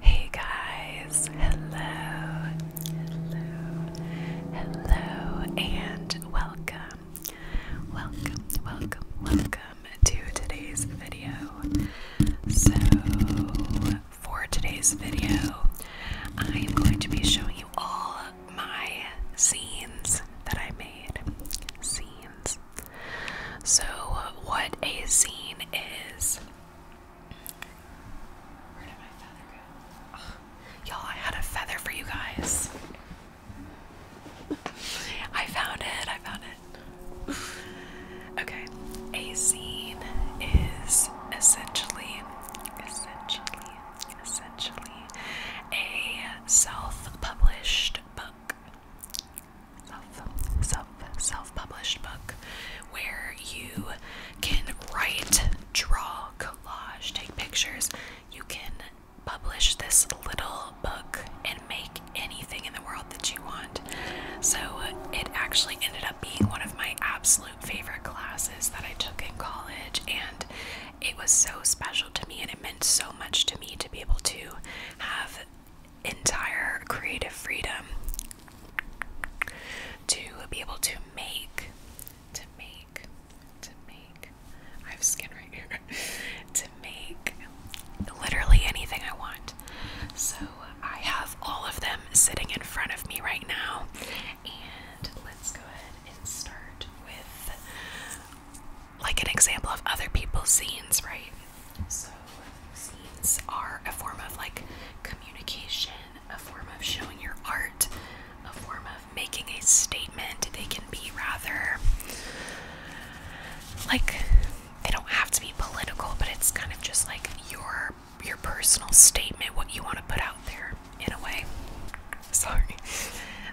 Hey guys, hello, hello, and welcome, welcome, welcome, welcome to today's video. So, for today's video, I am going to be showing you all my scenes that I made. Scenes. So, what a scene is Y'all, I had a feather for you guys. I found it. I found it. Okay, a scene is essentially, essentially, essentially a self published book self, self, self-published book where you can write, draw, collage, take pictures. You can publish this little book and make anything in the world that you want. So it actually ended up being one of my absolute favorite classes that I took in college and it was so special to me and it meant so much to me to be able to have entire creative freedom to be able to make, to make, to make. I have skin right here. to make literally anything I want. So I have all of them sitting in front of me right now. And let's go ahead and start with like an example of other people's scenes, right? So, scenes are a form of like communication, a form of showing your art, a form of making a statement. They can be rather like they don't have to be political, but it's kind of just like your your personal statement, what you want to put out there in a way. Sorry.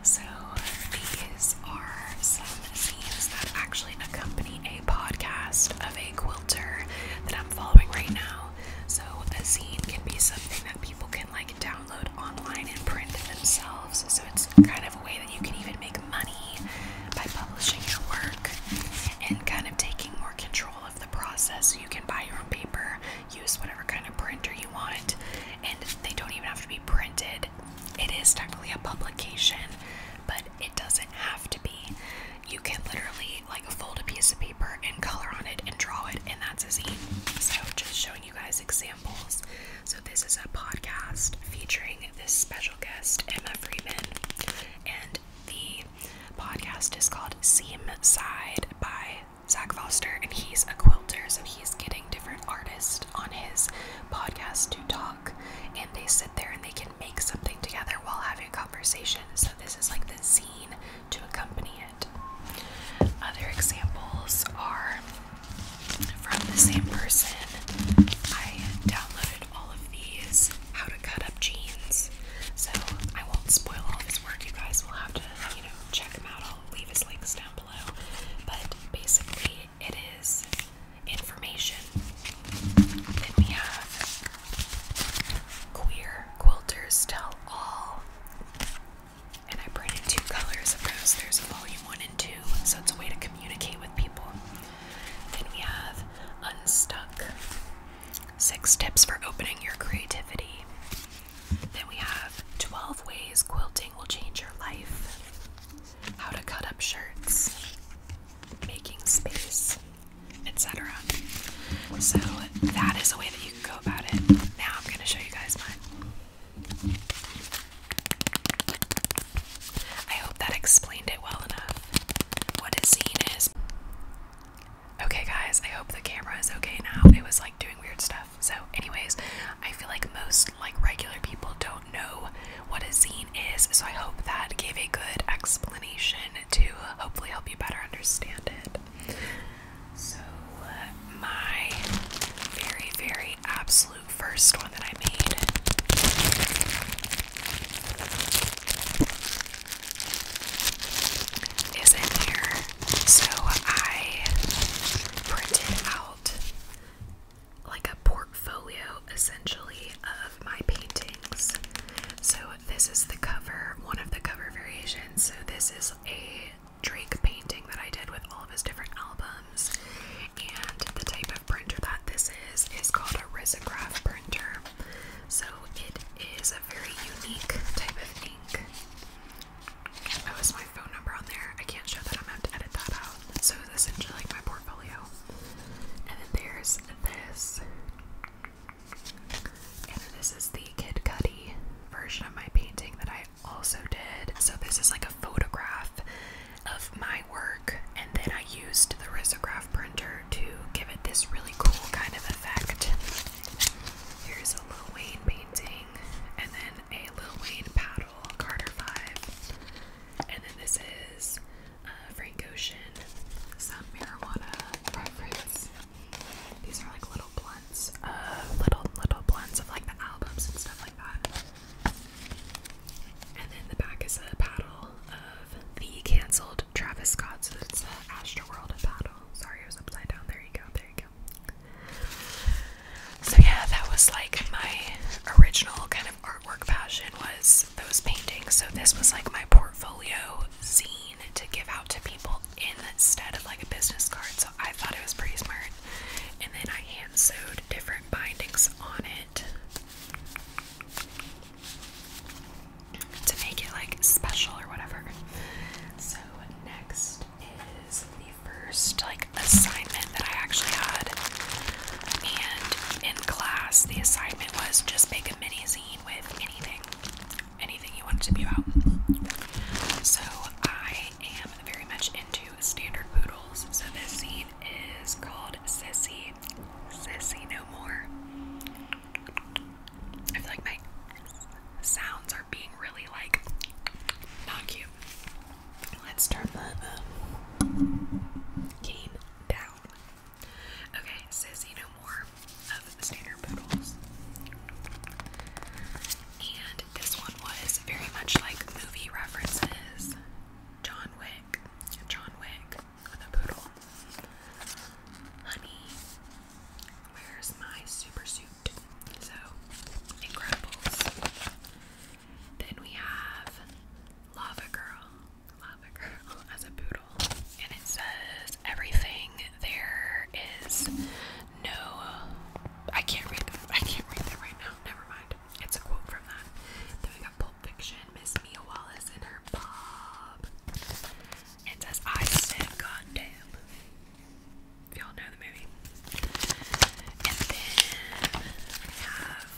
So these are themes that actually accompany a podcast of a quilter that I'm following right now. So a zine can be something that people can like download online and print themselves. So it's kind of a way that you can even make money by publishing your work and kind of taking more control of the process. So you can buy your own paper, use whatever kind of printer you want, and they don't even have to be printed. It is definitely a publication, but it doesn't have to be. You can literally like fold a piece of paper and color on it and draw it, and that's a zine. So, just showing you guys examples. So, this is a podcast featuring this special guest, Emma Freeman, and the podcast is called Seam Side by Zach Foster, and he's a quilter, so he's getting different artists on his podcast to talk and they sit there and they can make something together while having a conversation. So, this is like the scene to accompany it. Other examples are from the same person. I downloaded all of these how to cut up jeans. So, I won't spoil all his work. You guys will have to, you know, check him out. I'll leave his links down below. But basically, it is information. Then we have Queer Quilters Tell All. And I printed two colors of There's volume one and two, so it's a way to communicate with people. Then we have Unstuck Six Tips for Opening Your Creativity. Then we have 12 Ways Quilting Will Change Your Life how to cut up shirts, making space, etc. So that is a way that you can go about it. Now I'm going to show you guys mine. I hope that explained it well enough what a zine is. Okay, guys, I hope the camera is okay now. It was like doing weird stuff. So, anyways, I feel like most like regular people don't know what a zine is, so I hope that gave a good explanation to hopefully help you better understand it. So, uh, my very, very absolute first one that I made is in here. So, I printed out like a portfolio essentially of my paintings. So this is the cover, one of the cover variations. So this is a Drake painting that I did with all of his different albums. And the type of printer that this is is called a risograph printer. So it is a very unique type of ink. Oh, is my phone number on there? I can't show that. I'm have to edit that out. So it's essentially like my portfolio. And then there's this. And this is the Kid version of my painting that I also did. So this is like a photograph of my work, and then I used the risograph printer to give it this really cool kind of effect. Here's a Lil Wayne painting, and then a Lil Wayne paddle, Carter 5. And then this is uh, Frank Ocean, some marijuana preference. These are like little blunts, little little blunts of like the albums and stuff like that. And then the back is a paddle of the canceled Travis Scott, Astroworld paddle. Sorry, it was upside down. There you go. There you go. So yeah, that was like my original kind of artwork passion was those paintings. So this was like my portfolio zine to give out to people instead of like a business card. So I thought it was pretty smart. And then I hand sewed different bindings on it to make it like special or whatever. So next is the first like assignment that I actually had and in class, the assignment was just make a mini zine with anything, anything you wanted to be about. So I am very much into standard poodles. So this scene is called Sissy, Sissy No More. I feel like my sounds are being really like not cute. Let's turn the game down. Okay, it says you know more of the standard poodles. And this one was very much like movie references. John Wick. John Wick with a poodle. Honey, where's my super suit? So, it Incredibles. Then we have Lava Girl. Lava Girl as a poodle. And it says everything there is no I can't read that. I can't read that right now. Never mind. It's a quote from that. Then we got Pulp Fiction, Miss Mia Wallace and her Bob. It says I said goddamn. Y'all know the movie. And then we have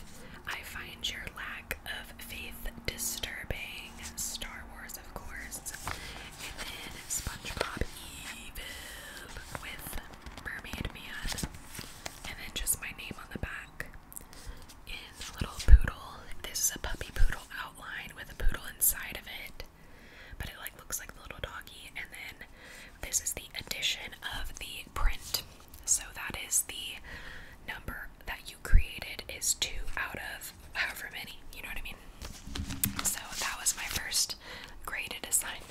I find your lack of faith disturbing. Star Wars, of course. And then SpongeBob Evil with Mermaid Man. And then just my name on the back. In little poodle. This is a puppy poodle outline with a poodle inside of it. But it like looks like the little doggy. And then this is the addition of the print. So that is the number that you created is two out of however many, you know what I mean? So that was my first graded assignment.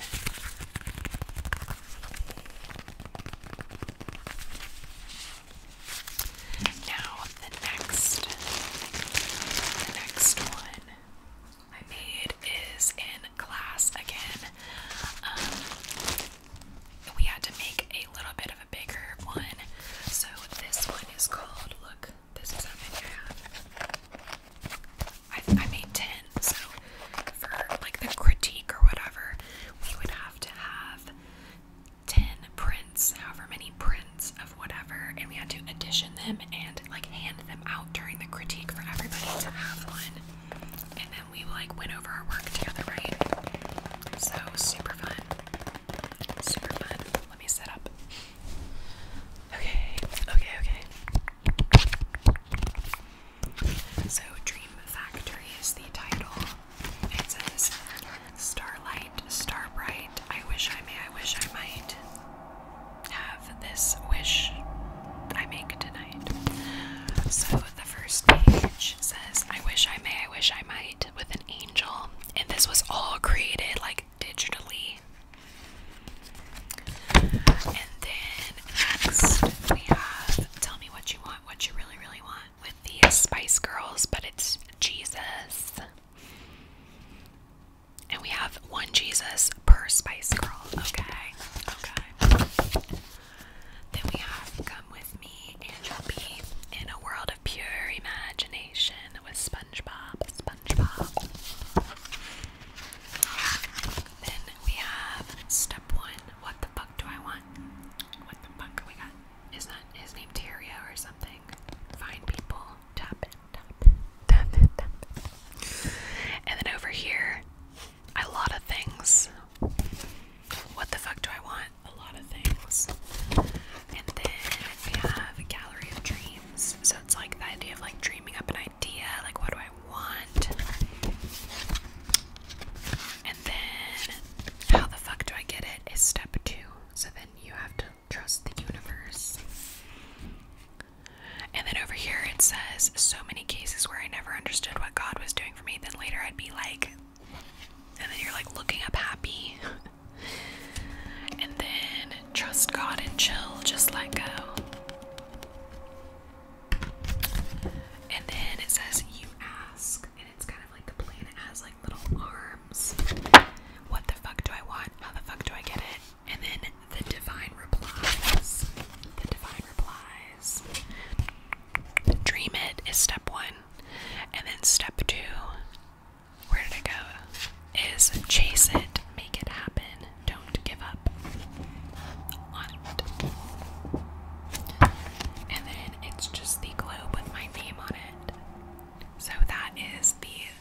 Now the next next one I made is in class again. Um, we had to make a little bit of a bigger one. So this one is called, look, this is how many I have. I, I made 10, so for like the critique or whatever, we would have to have 10 prints, however many prints of whatever, and we had to edition them and like hand them out during the critique for everybody to have one we like went over our work together, right? So super fun. Super fun. Let me set up. Okay, okay, okay. So Dream Factory is the title. It says Starlight, Starbright. I wish I may, I wish I might have this wish I make tonight. So first page says, I wish I may, I wish I might, with an angel. And this was all created like digitally. And then next we have Tell Me What You Want, What You Really, Really Want with the Spice Girls, but it's Jesus. And we have one Jesus per Spice Girl. Okay. Okay. Then we have Come With Me, Angel B, In a World of Pure Imagination with SpongeBob, SpongeBob. Then we have Step 1, What the Fuck Do I Want? What the fuck we got? Is that his name Teria, or something? Find people, tap tap tap tap And then over here, a lot of things. What the fuck do I want? A lot of things. And then we have a gallery of dreams. So it's like the idea of like dreaming up an idea, like what do I want? And then how the fuck do I get it is step two. So then you have to trust the universe. And then over here it says so many cases where I never understood what God was doing doing for me, then later I'd be like, and then you're like looking up happy. and then trust God and chill, just let go. And then it says, You ask, and it's kind of like the planet has like little arms. What the fuck do I want? How the fuck do I get it? And then the divine replies. The divine replies. Dream it is step one. And then step two, where did it go? Is chase it, make it happen, don't give up And then it's just the globe with my name on it. So that is the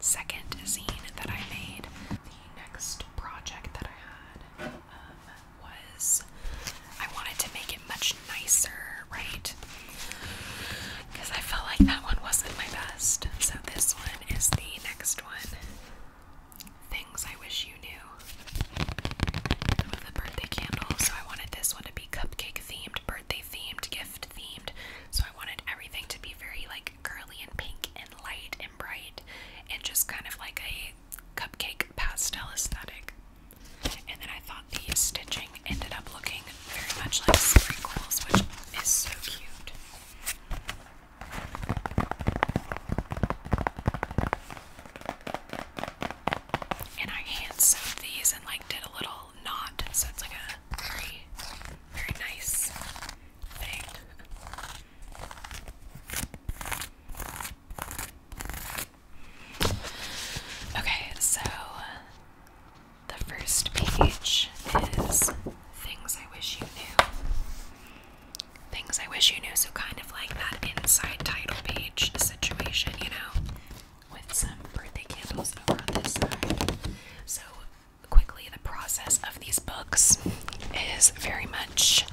second zine that I made. The next project that I had was I wanted to make it much nicer, right? Because I felt like that one wasn't my best. So this one is the next one. Things I wish you knew. With the birthday candle, so I wanted this one to be cupcake themed, birthday themed, gift themed. So I wanted everything to be very like curly and pink and light and bright and just kind of like a cupcake pastel aesthetic. And then I thought the stitching ended up looking very much like sprinkles, which is so cute. And I hand sewed these and like did a little knot, so it's like a very, very nice thing. Okay, so the first page is things I wish you knew. Things I wish you knew, so kind of like that inside title page situation, you know, with some birthday candles over on this side. So, quickly, the process of these books is very much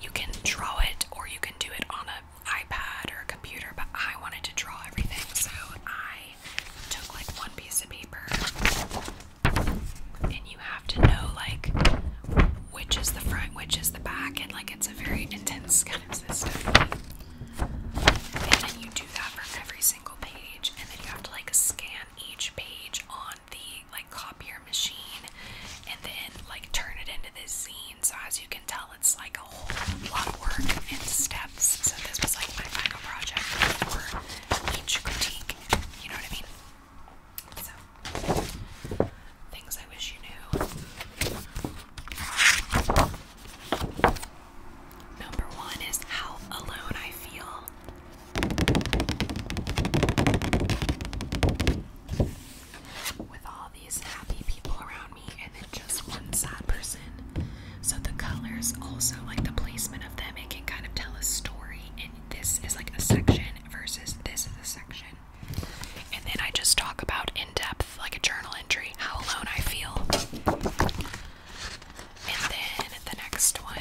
you can draw it or you can do it on an iPad or a computer, but I wanted to draw everything, so I took like one piece of paper. And you have to know like which is the front, which is the back, and like it's a very intense kind of system. And then you do that for every single page, and then you have to like scan each page on on the like copier machine and then like turn it into this scene. So as you can tell, it's like a whole lot of work and steps. So this was like my final project for each critique. You know what I mean? So things I wish you knew. Number one is how alone I feel with all these happy people around me and then just one sad person. So the colors also like the placement of them, it can kind of tell a story. And this is like a section versus this is a section. And then I just talk about in depth, like a journal entry, how alone I feel. And then the next one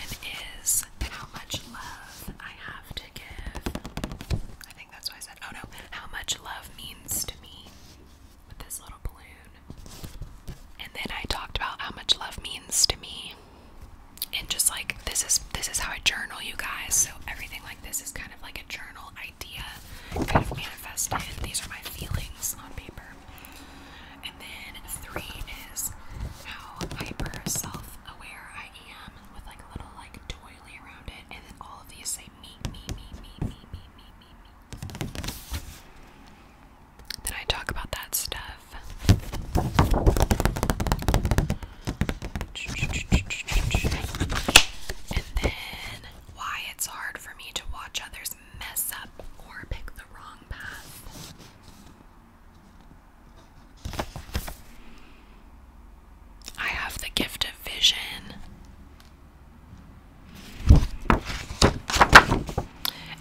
is how much love I have to I think that's what I said. Oh no, how much love means to me with this little balloon. And then I talked about how much love means to me. And just like this is this is how I journal you guys. So everything like this is kind of like a journal idea kind of manifested. These are my feelings on paper. And then three is how hyper self aware I I am with like a little like doily around it, and then all of these say me, me, me, me, me, me, me, me, me. Then I talk about that stuff. And then why it's hard for me to watch others mess up or pick the wrong path. I have the gift of vision.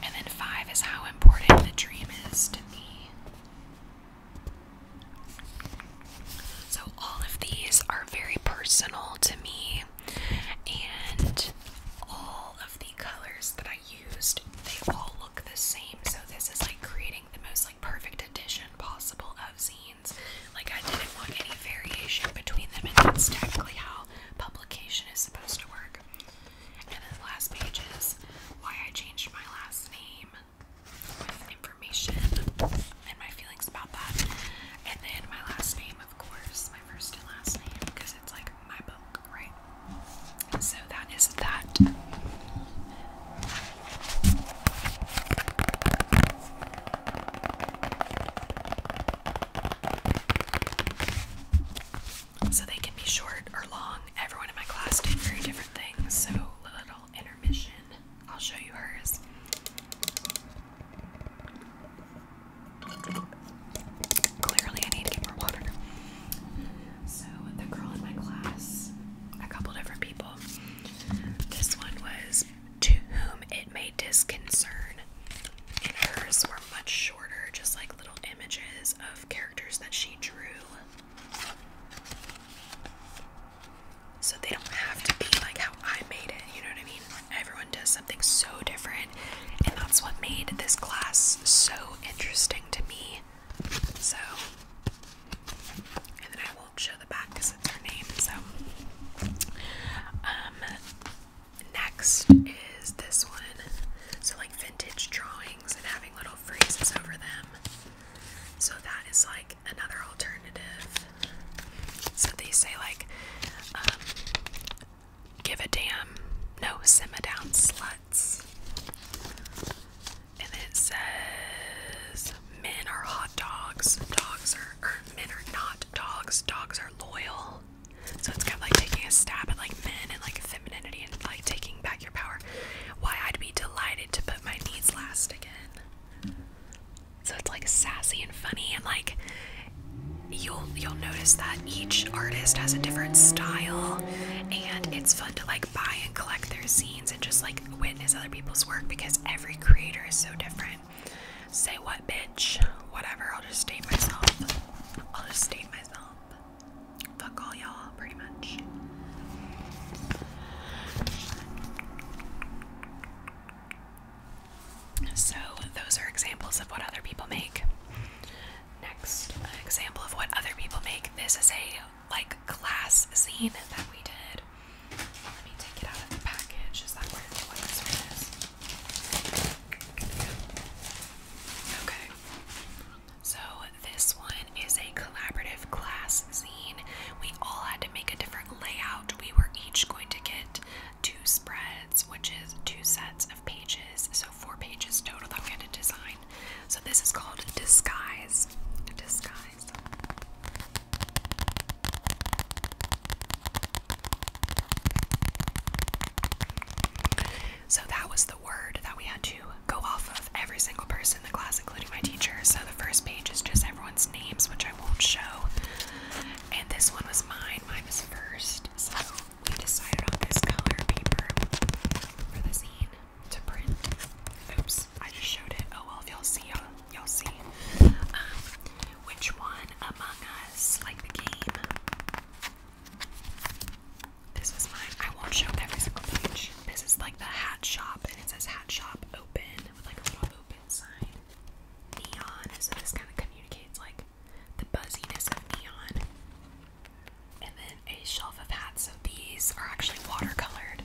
And then five is how important the dream is to me. So, all of these are very personal to me, and all of the colors that I used, they all look the same. So this is like creating the most like perfect edition possible of zines. Like I didn't want any variation between them, and that's technically how publication is supposed to work. And then the last page is why I changed my last name with information and my feelings about that. And then my last name, of course, my first and last name, because it's like my book Right. So that is that. So they can be short or long. Everyone in my class did very different things. So little intermission. I'll show you hers. Clearly I need to get more water. So the girl in my class, a couple different people. This one was to whom it may disconcern, and hers were much shorter, just like little images of characters that she drew. So they don't have to be like how I made it, you know what I mean? Everyone does something so different, and that's what made this class so interesting to me so, and then I will show the back because it's her name. So, um, next is this one. So, like vintage drawings and having little phrases over them. So, that is like another alternative. So, they say, like, um, give a damn, no, simmer down, slut. And it says men are hot dogs, dogs are er, men are not dogs, dogs are loyal. So it's kind of like taking a stab at like men and like femininity and like taking back your power. Why I'd be delighted to put my needs last again. So it's like sassy and funny and like you'll you'll notice that each artist has a different style and it's fun to like buy and collect their scenes and just like witness other people's work because every creator is so different. Say what, bitch? Whatever. I'll just state myself. I'll just state myself. Fuck all y'all, pretty much. So, those are examples of what other people make. Next example of what other people make. This is a like class scene that we did. Let me take it out of the package. Is that where the one this Okay. So this one is a collaborative class scene. We all had to make a different layout. We were each going to get two spreads, which is two sets of pages. So so four pages total that we had to design. So this is called Disguise. Disguise. So that was the word that we had to go off of every single person in the class, including my teacher. So the first page is just everyone's names, which I won't show. And this one was mine. Mine was first. So we decided on this color paper for the zine to print. Oops, I just showed it. Oh well, y'all see, y'all, y'all see. Um, which one among us like the game? This was mine. I won't show every single page. This is like the hat shop, and it says hat shop open with like a little open sign. Neon. So this kind of communicates like the buzziness of neon. And then a shelf of hats. So these are actually watercolored,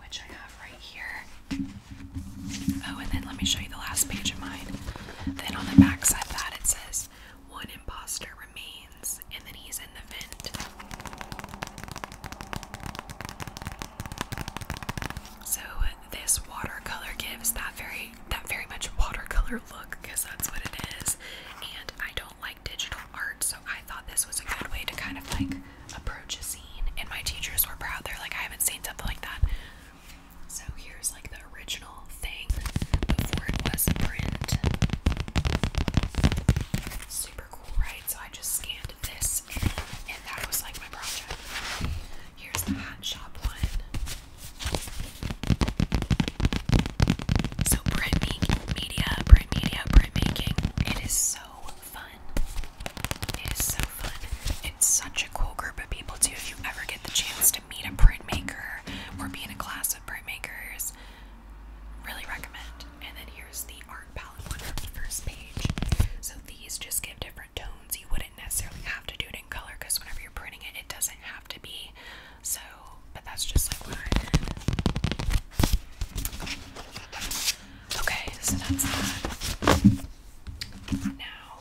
which I have right here. Oh, and then let me show you the last page of mine. Then on the back side that, it says, One impostor remains, and then he's in the vent. So this watercolor gives that very that very much watercolor look because that's what it is. And I don't like digital art, so I thought this was a good way to kind of like approach a scene. And my teachers were proud. They're like, I haven't seen something like that. So here's like the original thing before it was a print. Super cool, right? So I just scanned this and that was like my project. Here's the hat shop one. So printmaking, media, print printmaking. It is so fun. It is so fun. It's such a cool group of people too. If you ever get the chance to meet a printmaker or be in a class of printmakers, really recommend. And then here's the art palette one from the first page. So these just give different tones. You wouldn't necessarily have to do it in color because whenever you're printing it, it doesn't have to be so, but that's just like what I did. Okay, so that's that. Now,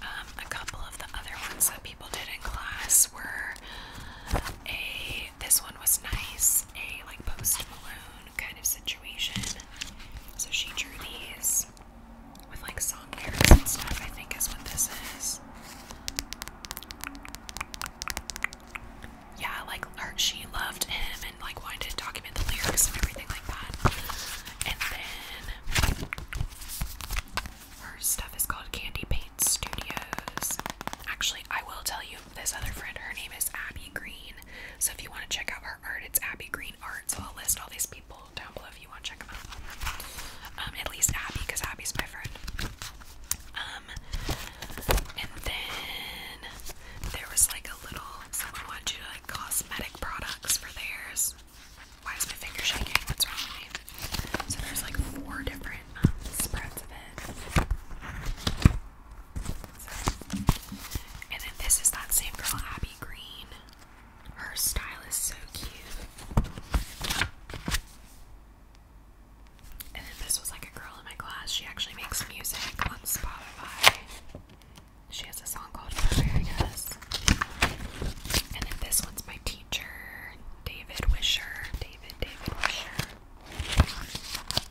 um, a couple of the other ones that people did in class were a. This one was nice, a like post balloon kind of situation. So she drew these with like song lyrics and stuff. I think is what this is yeah, like her, she loved him and like wanted to document the lyrics and everything like that. And then her stuff is called Candy Paint Studios. Actually, I will tell you this other friend, her name is Abby Green. So if you want to check out her art, it's Abby Green Art. So I'll list all these people down below if you want to check them out. Um, at least Abby, because Abby's my friend. Um, and then there was like a little, someone wanted like cosmetic products for theirs. Why is my finger shaking? What's wrong with me? So there's like four different um, spreads of it. and then this is that same girl, Abby Green. Her style is so cute. And then this was like a girl in my class. She actually makes music on Spotify. She has a song called Preparing Us. And then this one's my teacher, David Wisher. David, David Wisher.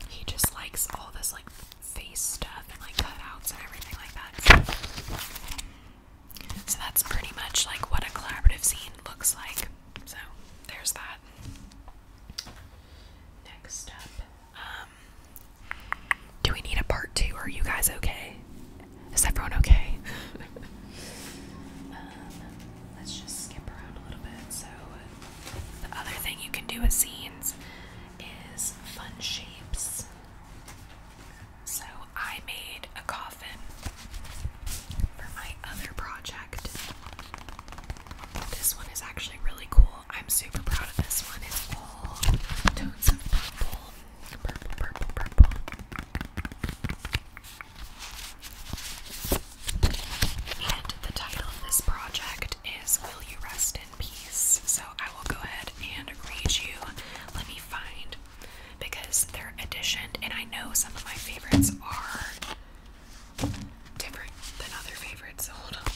He just likes all this like face stuff and like cutouts and everything like that. So that's pretty much like what a collaborative scene looks like. So there's that. Next up, um, do we need a part two? Are you guys okay? Is everyone okay? um, let's just skip around a little bit. So the other thing you can do with scenes is fun shapes. So I made a coffin for my other project. This one is actually really cool. I'm super proud of this one. It's all tones of purple. Purple, purple, purple. And the title of this project is Will You Rest in Peace? So I will go ahead and read you. Let me find because they're editioned, and I know some of my favorites are different than other favorites. So hold on.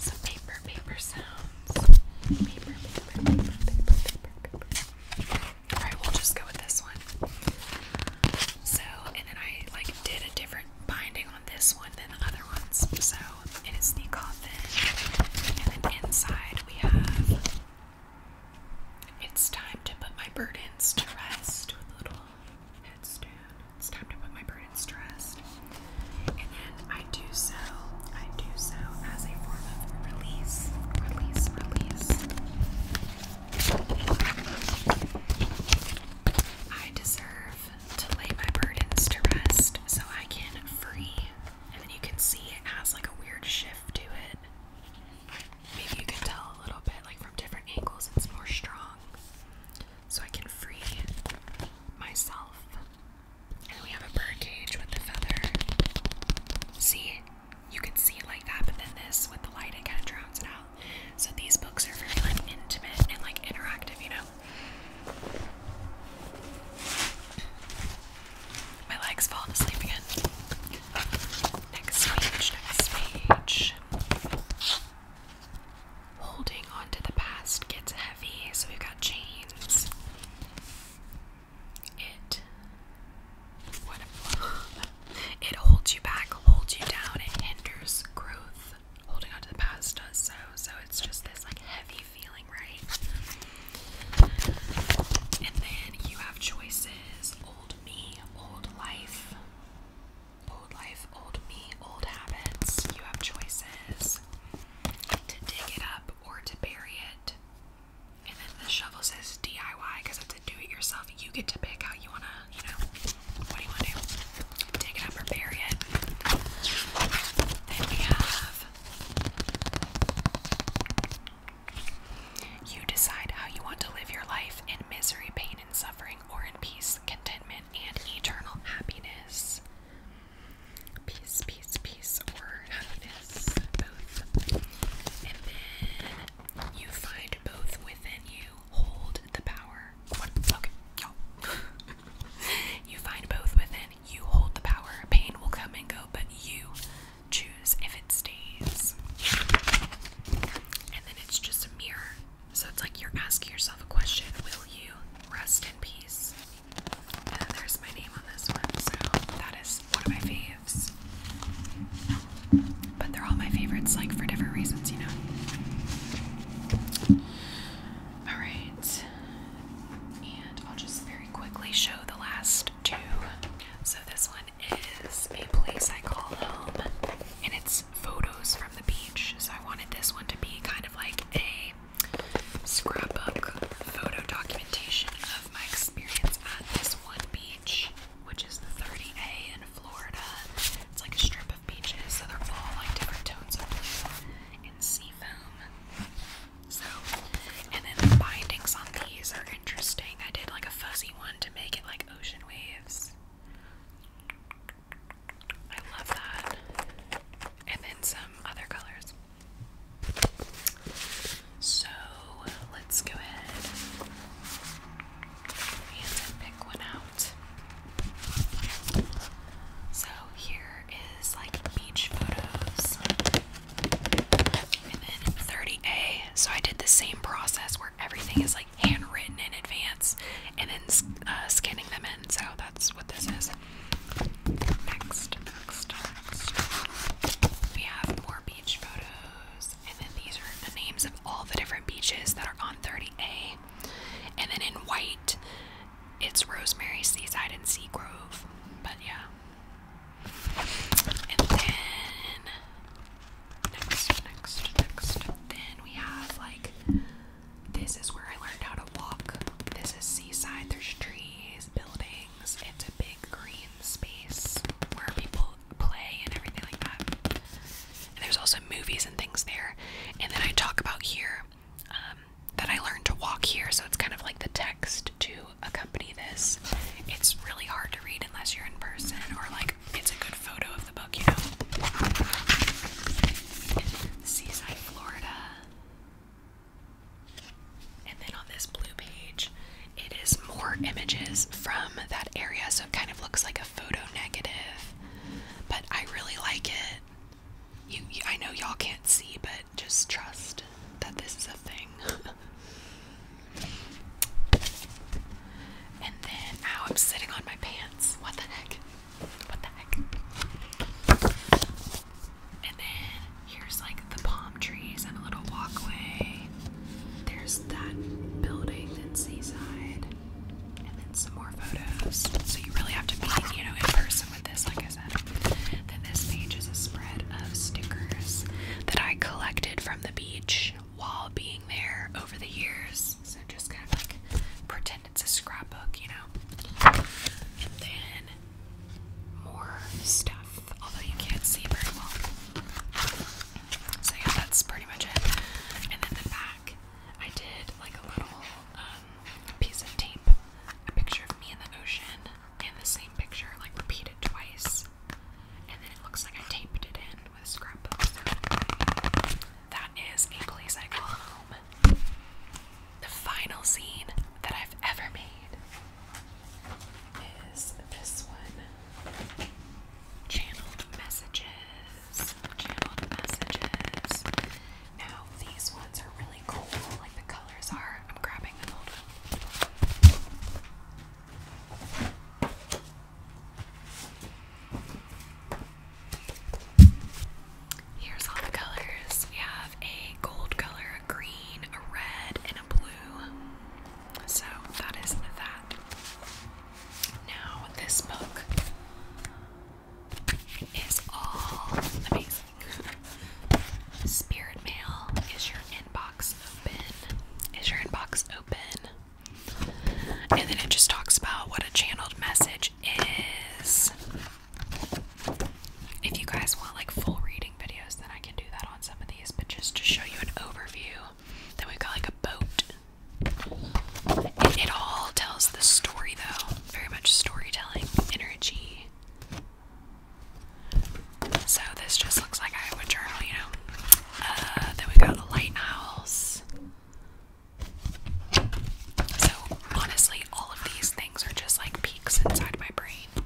Some paper, paper sounds. Alright, we'll just go with this one. So, and then I like did a different binding on this one than the other ones. So it is the coffin, and then inside we have it's time to put my burdens to rest with a little headstand. It's time to put my burdens to rest. And then I do so, I do so as a form of release, release, release. I deserve to lay my burdens to rest so I can free and then you can see it has like a weird shift to it. Maybe you can tell a little bit, like from different angles, it's more strong. So I can free myself. And we have a bird cage with the feather. See, you can see it like that, but then this with the light, it kind of drowns out. So these books are very like intimate and like interactive, you know? My leg's falling asleep again. Next page, next page. Holding on to the past gets heavy, so we've got chains. It. What a, It holds you back, holds you down, it hinders growth. Holding on to the past does so, so it's just this like heavy feeling right? And then you have choices old me, old life, old life, old me, old habits. You have choices to dig it up or to bury it. And then the shovel says DIY because it's a do it yourself. You get to pick how you want to, you know, what do you want to do? Dig it up or bury it. Then we have you decide how you want to live your life in misery, pain, and suffering, or in peace, contentment, and eternal happiness. Peace, peace, peace, or happiness, both. And then you find both within you. Hold the power. What? Okay, y'all. you find both within you hold the power. Pain will come and go, but you choose if it stays. And then it's just a mirror. So it's like you're asking yourself a question Will you rest in peace? And then there's my name on this one. So that is one of my faves. But they're all my favorites, like for different reasons, you know? Alright. And I'll just very quickly show the last two. So this one is a place I call home, and it's photos from the beach. So I wanted this one to be kind of like a scrapbook photo documentation of my experience at this one beach, which is the 30A in Florida. It's like a strip of beaches, so they're all like different tones of blue and sea foam. So, and then the bindings on these are interesting. I did like a fuzzy one to make it like ocean waves. I love that. And then some other colors. So, let's go ahead and pick one out. So, Oh, here is like beach photos. And then 30A. So I did the same process where everything is like handwritten in advance and then uh, scanning them in. So that's what this is. next, next. We have more beach photos. And then these are the names of all the different beaches that are on 30A. And then in white, it's Rosemary, Seaside, and Seagrove. But yeah. And then next, next, Then we have like this is where I learned how to walk. This is Seaside. There's trees, buildings. It's a big green space where people play and everything like that. And there's also movies and things there. And then I talk about here um, that I learned to walk here. So it's kind of like the text to accompany this. It's really hard to read unless you're in person or like it's a good photo of the book, you know. Seaside, Florida. And then on this blue page, it is more images from that area, so it kind of looks like a photo negative. But I really like it. I know y'all can't see, but just trust that this is a thing. and then, ow, I'm sitting on my pants. What the heck? What the heck? And then here's like the palm trees and a little walkway. There's that building in Seaside. And then some more photos. So you really have to be, you know, in person with this, like I is Then this page is a spread of stickers that I collected from the beach while being there over the years. So just kind of like pretend it's a scrapbook, you know? And then more stuff, although you can't see very well. So yeah, that's pretty much it. And then the back, I did like a little um, a piece of tape a picture of me in the ocean and the same picture, like repeated twice, and then it looks like I taped it in with a scrapbook. that is a place I call home. The final scene that I've ever made is this one. Channeled messages. Channeled messages. Now these ones are really cool, like the colors are. I'm grabbing an old one. Here's all the colors. We have a gold color, a green, a red, and a blue. So that is that. Now, this book is all amazing. Spirit mail is your inbox open. Is your inbox open? And then it just talks about what a channeled message is. If you guys want like full reading videos, then I can do that on some of these, but just to show you an overview. Then we've got like a boat. It, it all tells the story though very much storytelling energy. So this just looks like I would journal, you know. Uh, then we got a lighthouse. So honestly, all of these things are just like peaks inside my brain.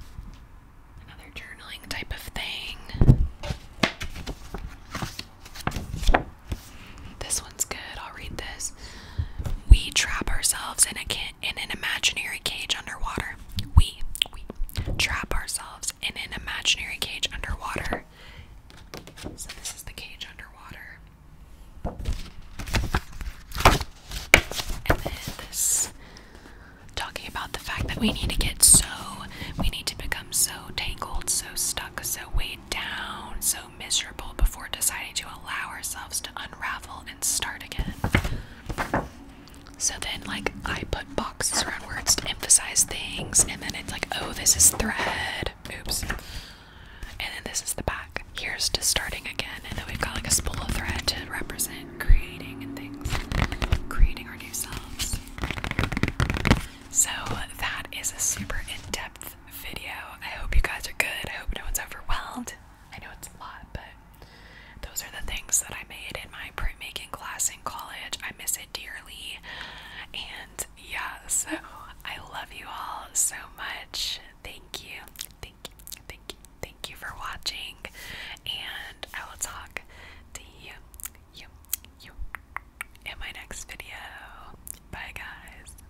Another journaling type of thing. This one's good. I'll read this we trap ourselves in a in an imaginary cage underwater. We we trap ourselves in an imaginary cage underwater. So this is the cage underwater. And then this talking about the fact that we need to get so we need to become so tangled, so stuck, so weighed down, so miserable before deciding to allow ourselves to unravel and start again. So then, like, I put boxes around words to emphasize things, and then it's like, oh, this is thread. Oops. And then this is the back. Here's to starting again. And then we've got like a spool of thread to represent creating and things, creating our new selves. So that is a super in depth video. I hope you guys are good. I hope no one's overwhelmed. I know it's a lot, but those are the things that I made in my printmaking class in college. I miss it dearly. And yeah, so I love you all so much. Thank you. Thank you. Thank you. Thank you for watching. And I will talk to you, you, you in my next video. Bye, guys.